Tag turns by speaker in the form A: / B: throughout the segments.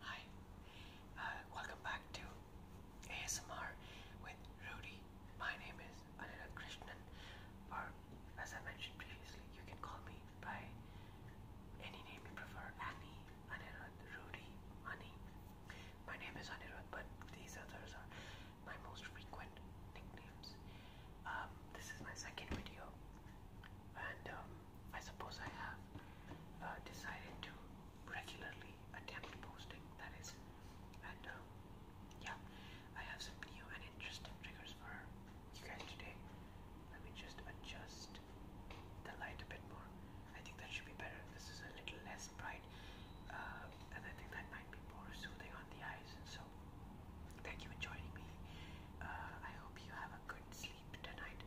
A: Hi, uh, welcome back to ASMR with Rudy. My name is Anila Krishnan, or as I mentioned previously, you can call me by any name you prefer Annie, Anirudh, Rudy, Ani. My name is Anirudh, but these others are my most frequent nicknames. Um, this is my second video, and um, I suppose I have uh, decided to regularly attempt posting, that is. And um, yeah, I have some new and interesting triggers for you guys today. Let me just adjust the light a bit more. I think that should be better. This is a little less bright, uh, and I think that might be more soothing on the eyes. So, thank you for joining me. Uh, I hope you have good sleep tonight,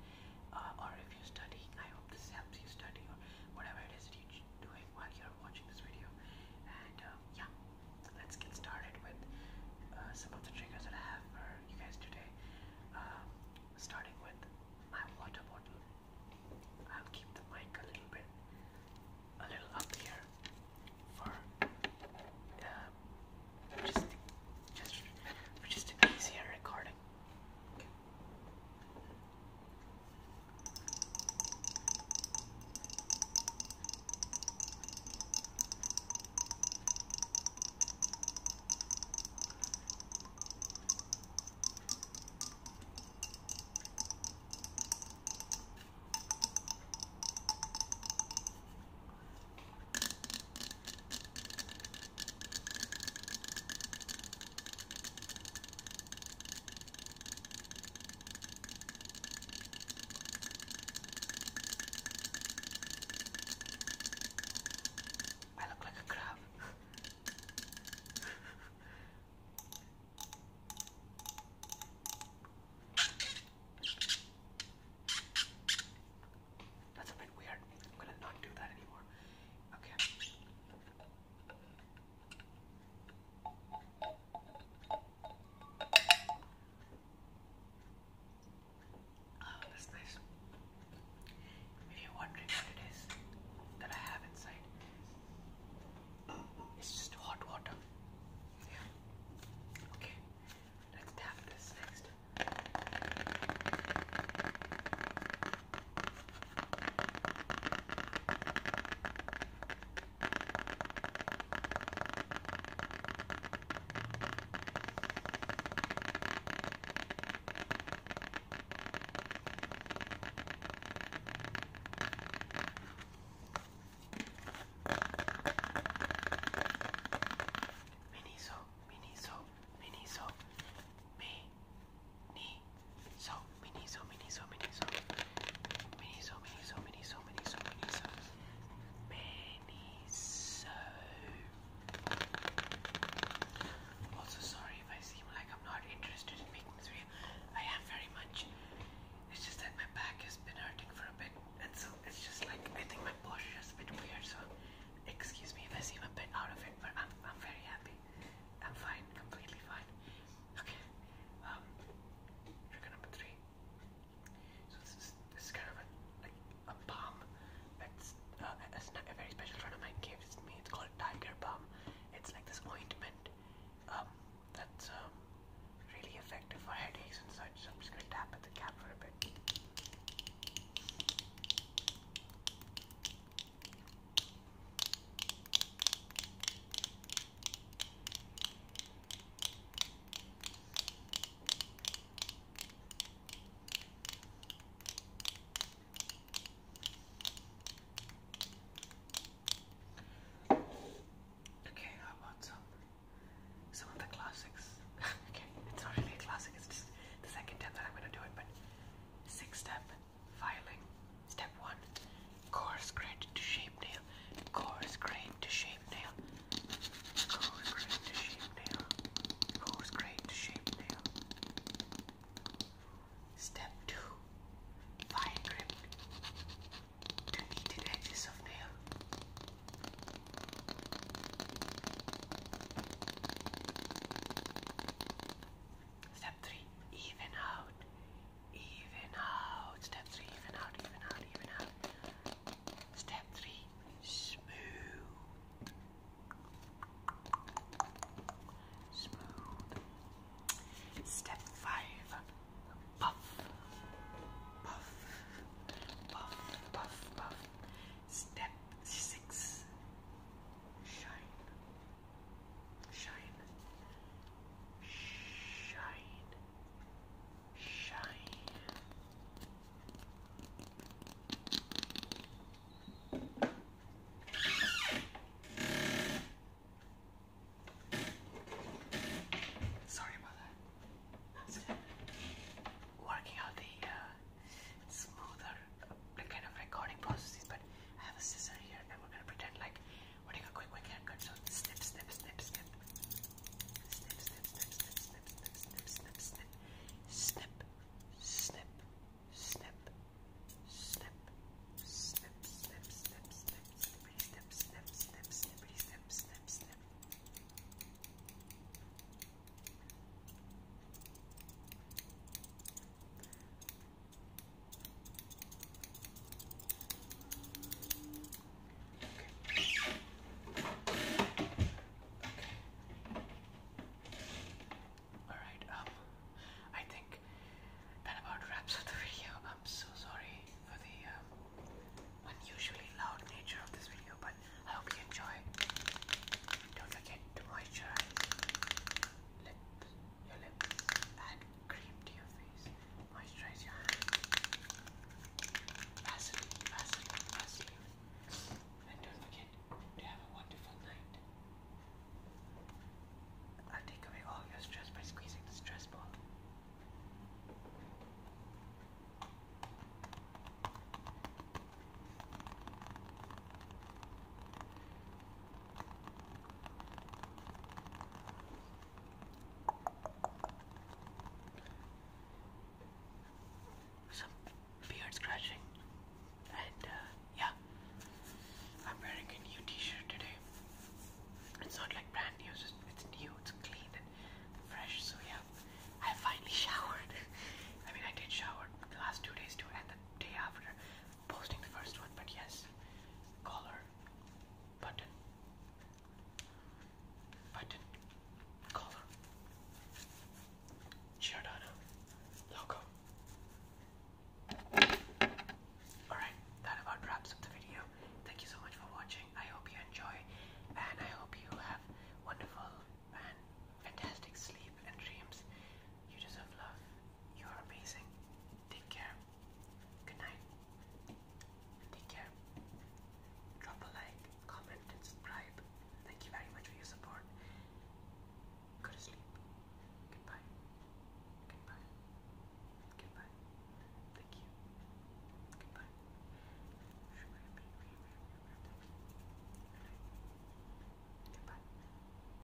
A: uh, or if you're studying, I hope this helps you study or whatever it is that you're doing while you're watching this video. And uh, yeah, let's get started with uh, some of the triggers that I have for you guys today. Um, starting with my water bottle. I'll keep the mic a little bit, a little up here, for um, just just just an easier recording. I look like a crab. That's a bit weird. I'm gonna not do that anymore. Okay. Oh, that's nice. If you're wondering what it is that I have inside, it's just hot water. Yeah. Okay. Let's tap this next. Miniso, Miniso, Miniso, Miniso, Miniso, Miniso, Miniso, Miniso, Miniso, Miniso, Miniso, Miniso, Miniso. Also, sorry if I seem like I'm not interested in making this I have very much. It's just that my back has been hurting for a bit, and so it's just like I think my posture is a bit weird. So, excuse me if I seem a bit out of it, but I'm I'm very happy. I'm fine, completely fine. Okay, um, trigger number three. So this is this is kind of a like a bomb. that's uh, not a very special friend of mine gave to me. It's called Tiger Bomb. It's like this ointment um, that's um, really effective for headaches and such. So I'm just gonna tap at the cap for a bit. Okay, how about some some of the classics? okay, it's not really a classic, it's just the second time that I'm gonna do it, but six step filing. Step one, coarse grain to shape nail, coarse grain to shape nail, coarse grain to shape nail. Oh, Step 2. Fine grip to needed edges of nail. Step 3. Even out. Even out. Step 3. Even out. Even out. Even out. Step three, smooth. Smooth. Step five, puff. Puff. Puff, puff, puff. Step six, shine. Shine. Shine. Sorry about that. It's working out the uh, smoother uh, kind of recording processes, but I have a scissor here and we're gonna pretend like we're doing a quick quick haircut. So snip, snip, snip, snip. Snip, snip, snip, snip, snip, snip, snip, snip, snip. Snip, snip, snip, snip, snip, snip, snip, snip, snipity, snip, snip, snip, snippity, snip, snip, snip. Snip, Alright, um, I think that about wraps up the video. I'm so sorry for the um, unusually loud nature of this video, but I hope you enjoy. Don't forget to moisturize lips, your lips, and cream to your face. Moisturize your hand. And don't forget to have a wonderful night. i take away all your stress by squeezing the stress ball some beard scratching, and uh, yeah, I'm wearing a new T-shirt today. It's not like brand new; it's, just, it's new, it's clean and fresh. So yeah, I finally showered. I mean, I did shower the last two days too, and the day after posting the first one. But yes, collar button, button, collar, Giordano, logo. Alright, that about wraps up the video. Thank you so much for watching. I hope you enjoy and I hope you have wonderful and fantastic sleep and dreams. You deserve love you are amazing. Take care. Good night. Take care. Drop a like, comment, and subscribe. Thank you very much for your support. Go to sleep. Goodbye. Goodbye. Goodbye. Thank you. Goodbye. Goodbye.